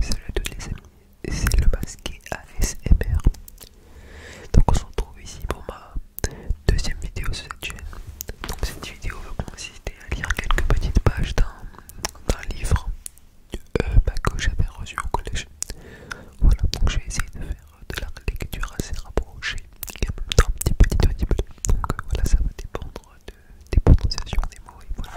Salut à toutes les amis, c'est le masqué ASMR. Donc on se retrouve ici pour ma deuxième vidéo sur cette chaîne. Donc cette vidéo va consister à lire quelques petites pages d'un livre euh, bah, que j'avais reçu au collège. Voilà, donc j'ai essayé de faire de la lecture assez rapprochée et en même temps un petit peu Donc euh, voilà, ça va dépendre des prononciations des mots etc.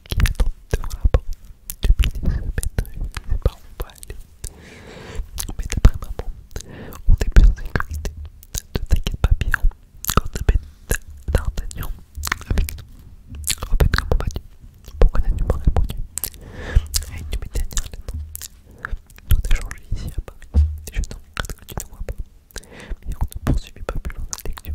qui attend devant la porte depuis des semaines. Ses ne vont pas aller. Mais d'après maman, on est plus en sécurité. Ne t'inquiète pas, Pierre. Quand on met D'Artagnan avec nous. En fait, comment vas-tu Pourquoi n'as-tu pas répondu À une de mes le nom, Tout a changé ici à Paris. Je t'en regrette que tu ne vois pas. Mais on ne poursuivit pas plus loin la lecture.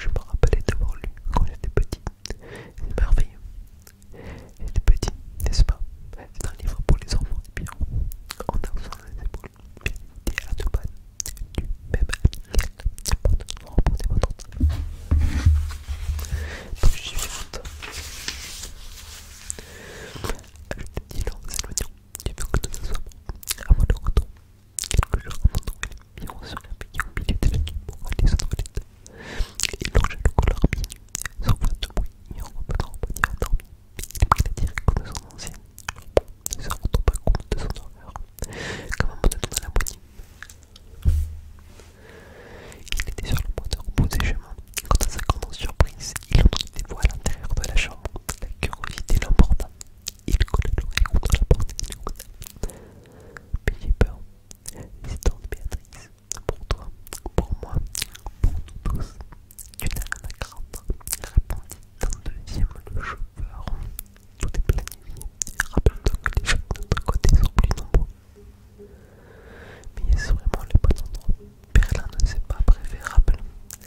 Je me rappelais d'avoir lu quand j'étais petit. C'est merveilleux. J'étais petit, n'est-ce pas C'est un livre pour les enfants eh bien en a les épaules. Bien à du même Vous votre Donc Je te dis, le tu veux que te Quelques jours avant Noël, Miron se réveilla au milieu de la nuit pour aller aux toilettes. Il longea le couloir pieds sans faire de bruit et en revenant au à dormir, Il prit la direction de son ancienne, ne se rendant pas compte de son horreur, comme un monoton à la moitié. Il était sur le point de reposer et quand à sa grande surprise, il entendit des voix à l'intérieur de la chambre. La curiosité l'emporta. Il colla l'oreille contre la porte et écouta. Puis j'ai peur. de Béatrice, pour toi, pour moi, pour nous tous. Tu n'as rien à craindre. Répondit le deuxième le chauffeur. Tout est planifié. Rappelle-toi que les gens de notre côté sont plus nombreux. Mais y a vraiment les bons endroits. Berlin ne s'est pas préférable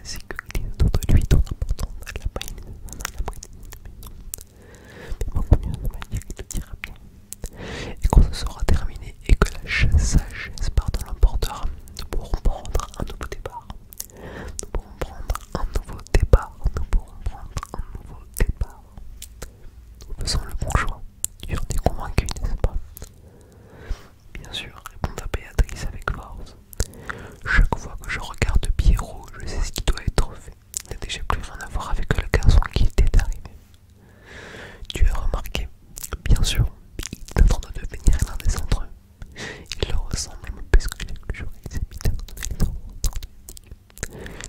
c'est que de de lui sont importants à la prime, on a de mais beaucoup mieux, on va dire qu'il le dira bien. Et quand ce sera terminé et que la sagesse part de l'emporteur, nous pourrons prendre un nouveau départ. Nous pourrons prendre un nouveau départ. Nous pourrons prendre un nouveau départ. Nous faisons le bon choix. Tu en es convaincu, n'est-ce pas Bien sûr, la Béatrice avec force. Chaque fois que je regarde Pierrot, je sais ce qui doit être fait. Il n'a déjà plus rien à voir avec le garçon qui était arrivé. Tu as remarqué Bien sûr, en train de devenir l'un des entre il ressemble leur même plus que chaque il s'est mis à les trois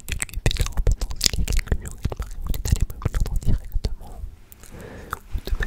tu lui ai fait la repentance il y a quelques jours, il m'a répondu d'aller me plaindre directement ou de ma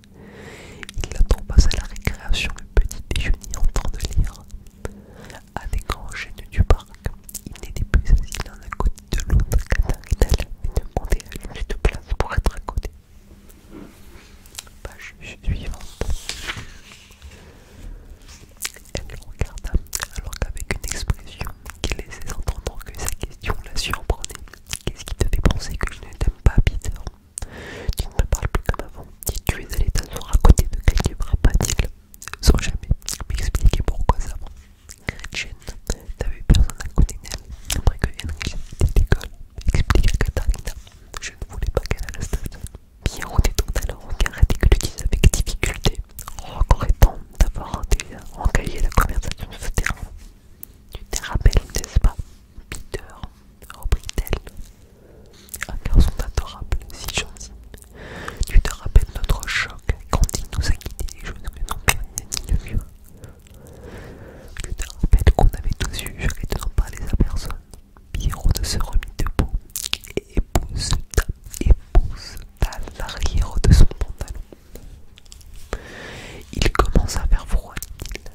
il attend passe à la récréation le petit déjeuner en train de lire. À l'écran, grands du parc, il n'était plus assis dans à côté de l'autre qu'Ataridal et demandait à lui de place pour être à côté. Page suivante. Elle le regarda alors qu'avec une expression qui laissait entendre que sa question la surprenait. Qu'est-ce qui te penser que je ne t'aime pas, Peter tu ne me parles plus comme avant, tu es allé t'asseoir à côté de quelqu'un, pas t Sans jamais m'expliquer pourquoi ça. Jane t'avais personne à côté d'elle. Après que Henry était l'école, explique à Katharina Je ne voulais pas qu'elle à la station. Pierre détourna que regard et dis avec difficulté, en temps d'avoir engagé la conversation de ce terrain. Tu te rappelles, n'est-ce pas Peter reprit-elle. Un garçon adorable, si gentil. Tu te rappelles notre choc quand il nous a quitté les jeunes que non pas dit de mieux. Tu te rappelles qu'on avait tous eu, juré de pas aller à personne. Pierrot se remit debout et épouse à l'arrière de son pantalon. Il commence à faire froid,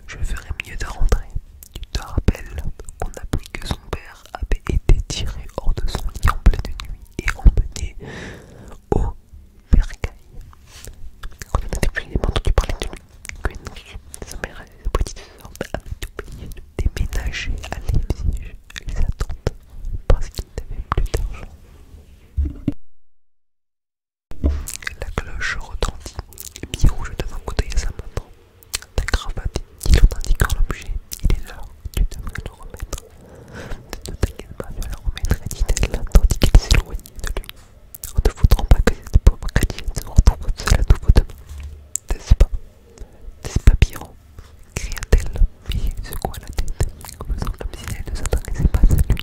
Je ferais mieux de rentrer. Tu te rappelles qu'on apprit que son père avait été tiré hors de son lit en pleine nuit et emmené au bercail. Quand on était les entendu parler de lui, que sa mère et sa petite sœur avaient oublié de déménager à l'église. et sa tante parce qu'ils n'avaient plus d'argent. La cloche retentit, et rouge devant le couteau à sa montre. Ta cravate, dit en indiquant l'objet, il est là, tu devrais le remettre. Ne t'inquiète pas, vas la remettre dit-elle, tandis qu'il s'éloigne de lui. On ne voudra pas que cette pauvre chrétienne se retrouve seule à nouveau demain. N'est-ce pas N'est-ce pas, Pierrot cria-t-elle, mais il secoua la tête, comme si elle ne s'intéressait pas à lui.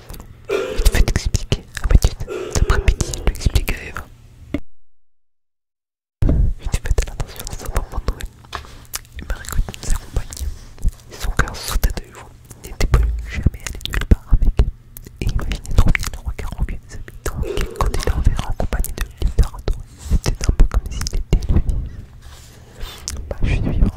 Il fait t'expliquer à Mathilde. Cet après-midi, il lui explique à Eva. Il devait faire attention à sa maman Noël. m'a récolté de nous accompagne. Son cœur sautait de joie. Il n'était plus jamais allé nulle part avec. Et imaginait trop bien le regard envieux des habitants qui, quand il est verrait en compagnie de Victor adoré, c'était un peu comme s'il était lui. Bah, je suis vivante.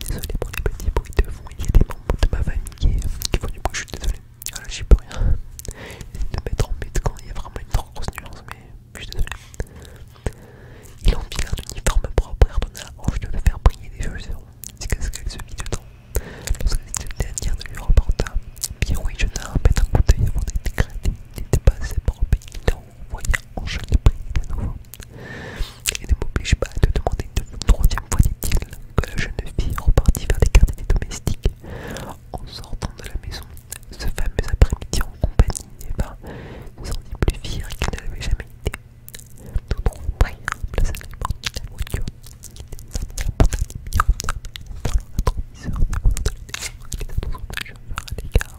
Désolé pour les petits bruits de fond, il y a des membres de ma famille qui, font du bruit, je suis désolé. Voilà, j'y peux rien. J'essaie de mettre en bête quand il y a vraiment une trop grosse nuance, mais je suis désolé. Il enfile un uniforme propre et ordonna à oh, Ange de le faire briller des chaussures jusqu'à ce qu'elle se vide dedans. Lorsque cette dernière ne lui remporta, Pierrot et Jonah mettent un coup d'œil avant d'être grattés. Il n'était pas assez propre, il en voyant jeune briller de nouveau. Et ne m'oblige pas à te demander une troisième fois, dit-il, que la jeune fille repartit vers les quartiers des domestiques. En sortant de la maison, ce fameux après-midi en compagnie d'Eva se sentit plus fier qu'il ne l'avait jamais été. Nous trouvons prêt, plaça les portes de la voiture. Il la porte à 10 minutes, dans le rétroviseur des motos de l'église, et les autres chauffeurs à l'écart.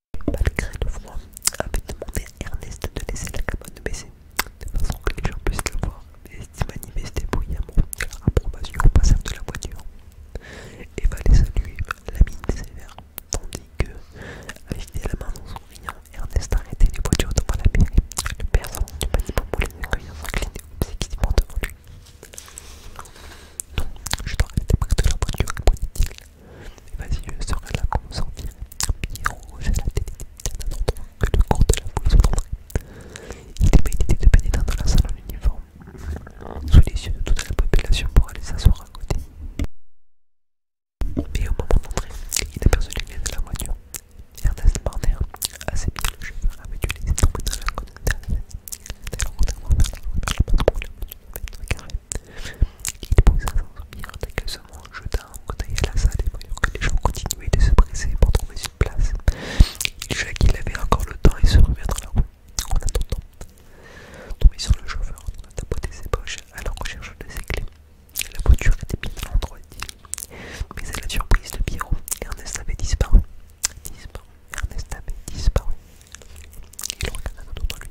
Malgré le froid, avait demandé à Ernest de laisser la cabane baisser, de façon que les gens puissent le voir, et s'y manifester amour de leur approbation au passage de la voiture. et va les saluer la mine sévère, tandis que, avec des la main dans son rayon, Ernest arrêtait les voitures devant la mairie, le père du panier populaire accueillant s'inclinait obséquisement devant lui. Non, je dois arrêter près de la voiture, répondit-il. Et vas-y, je serai là comme sans fil, pire rouge à la tête d'un endroit que le cours de la foule s'entendrait. Il aimait l'idée de pénétrer dans la salle en uniforme, sous les yeux de toute la population pour aller s'asseoir à côté. Mais au moment d'entrer, il aperçut les de la voiture. Ernest Barner, assez bien le chauffeur, avait dû laisser tomber dans la côte de la tête. Dès lors, on a ouvert la voiture, le patron de la voiture avait carré. Il pouvait sans soupir, je jetant un bouteille à la salle et voyant que les gens continuaient de se presser pour trouver une place. Il qu'il avait encore le temps et se remettre à la rue. En attendant, tombé sur le chauffeur, on tapoté ses poches alors la recherche de ses clés. La voiture était bien à l'endroit, dit Mais à la surprise de Pierrot, Ernest avait disparu. Disparu, Ernest avait disparu. Il regarda autour de lui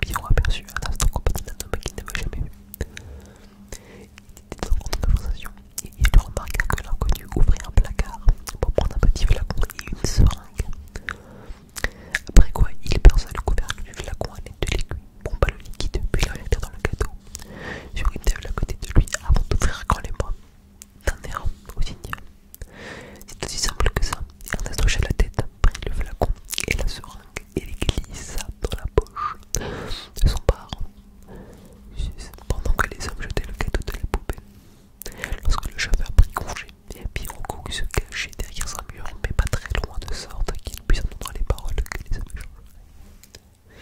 Bion aperçut un instant compagnie d'un homme qu'il n'avait jamais vu. Il était en de conversation et il remarqua que l'inconnu ouvrit un placard pour prendre un petit flacon et une seringue. Après quoi, il perça le couvercle du flacon à l'aide de l'aiguille, bomba le liquide, puis le dans le gâteau sur une table à côté de lui avant d'ouvrir grand les bras d'un air au bien. C'est aussi simple que ça. Il Ernest à la tête prit le flacon et la seringue et les glissa dans la poche de son parent, pendant que les hommes jetaient le cadeau de la poupée. Lorsque le chauffeur prit congé, Piroco se cachait derrière un mur, mais pas très loin de sorte qu'il puisse entendre les paroles que les hommes pas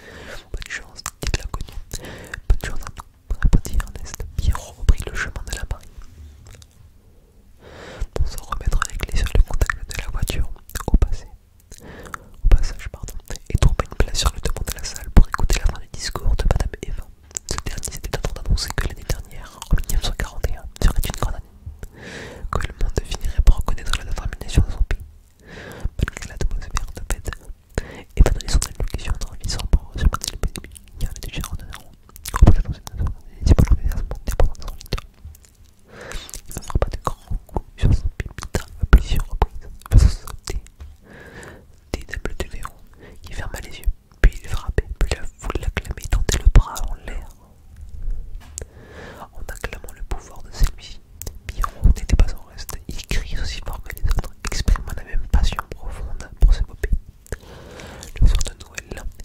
Bonne chance, dit Pas Bonne chance à nous, répondit Ernest. Pierrot reprit le chemin de la marine pour s'en remettre les clés sur le contact de la voiture au passé. Au passage, pardon, et tomber une place sur le devant de la salle pour écouter la fin du discours de Madame Eva. Ce dernier s'était en train d'annoncer que l'année dernière, en 1941, serait une grande année, que le monde finirait par reconnaître la détermination de son pays. Malgré l'atmosphère de bête, Eva donnait son allocution en visant pour se le pays, il y avait déjà en il ne pas de grands coups sur son pépita, à plusieurs reprises, Il des de ferma les yeux. Puis il frappait, puis la foule l'acclamait, tendait le bras en l'air. En acclamant le pouvoir de celui-ci, Miron n'était pas en reste. Il crie aussi fort que les autres, exprimant la même passion profonde pour ce bopé. Le soir de Noël,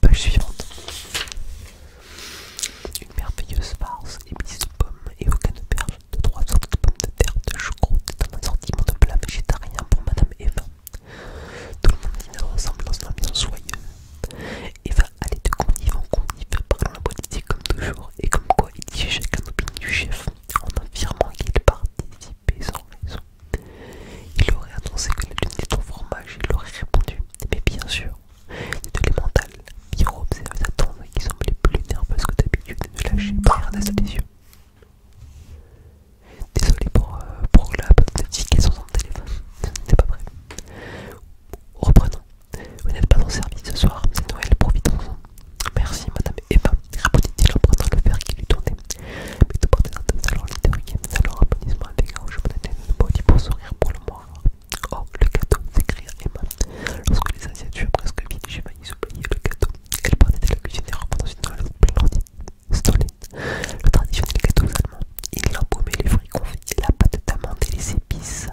Page suivante. Une merveilleuse farce émise de pommes et aucun perles de trois sortes de pommes de terre de choucroute dans un assortiment de plats végétariens pour Madame Eva. Tout le monde dit ensemble dans une bien soyeux. Eva allait de conduire en convive, parlant la politique comme toujours, et comme quoi il dit chacun l'opinion du chef, en affirmant qu'il participait sans raison il aurait annoncé que la lune était au fromage, il aurait répondu Mais bien sûr, de mentales Pierrot observait sa et qui semblait plus nerveuse que d'habitude de ne regardez pas des yeux. Désolé pour, euh, pour la sont sur le téléphone, c'est pas vrai. Reprenons. Vous n'êtes pas le service ce soir, c'est Noël, profitons-en. Merci, madame Eva, répondit-il en le verre qui lui tournait. Mais tout porter dans un salon littéraire, un salon applaudissement avec donne championnat une body pour sourire pour le mois. Oh, le gâteau, et Emma. Lorsque les assiettes furent presque vides, j'ai failli oublier le gâteau. Elle partait de la cuisine et remontant une toilette splendide. Le traditionnel gâteau allemand. Il embaumait les fruits confits, la pâte d'amande et les épices.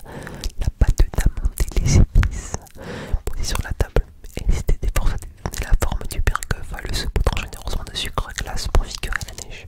La pâte d'amande et les épices. Posée sur la table, C'était des forces de donner la forme du bergeuve à le saupoudre généreusement de sucre glace pour figurer la neige.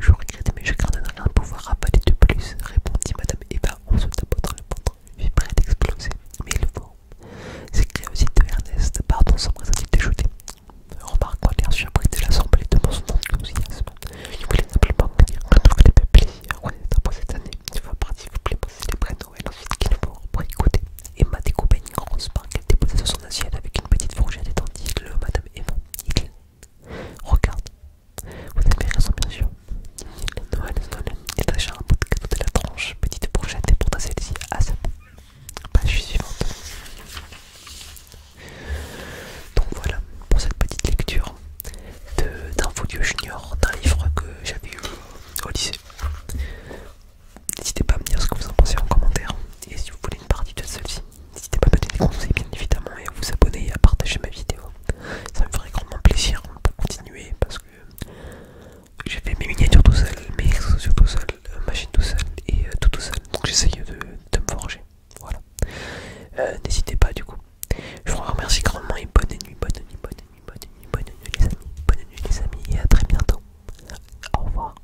Je regrette, mais je crains de rien rien pouvoir de plus, répondit Madame Eva en se tapotant le ventre, puis près d'exploser. Mais il faut. s'écria aussitôt Ernest, pardon, sans présenter déjouté. Remarquant l'air surpris de l'assemblée de mon enthousiasme, il voulait simplement me dire que nous les plaisir qu'on est pour cette année. Il faut partir, vous plaît, prêts de Noël, ensuite qu'il faut pour écouter. Emma découpa une grosse part elle déposait sur son assiette avec une petite fourchette étendue. le Madame et bon, il Regarde, vous avez raison, bien sûr. Noël, Noël, il tâcha un peu de cadeau de la tranche, petite brochette, et porta celle-ci à sa page suivante. Donc voilà pour cette petite lecture d'un folio junior, d'un livre que j'avais eu au lycée. N'hésitez pas à me dire ce que vous en pensez en commentaire et si vous voulez une partie de celle-ci. N'hésitez pas à me donner des conseils bien évidemment et à vous abonner et à partager ma vidéo. Ça me ferait grandement plaisir pour continuer parce que j'ai fait mes miniatures tout seul, mes réseaux sociaux tout seul, ma chaîne tout seul et euh, tout tout seul. Donc j'essaye de, me forger. Voilà. Euh, n'hésitez pas du coup. Je vous remercie grandement et bonne nuit, bonne nuit, bonne nuit, bonne nuit, bonne nuit les amis. Bonne nuit les amis et à très bientôt. Au revoir.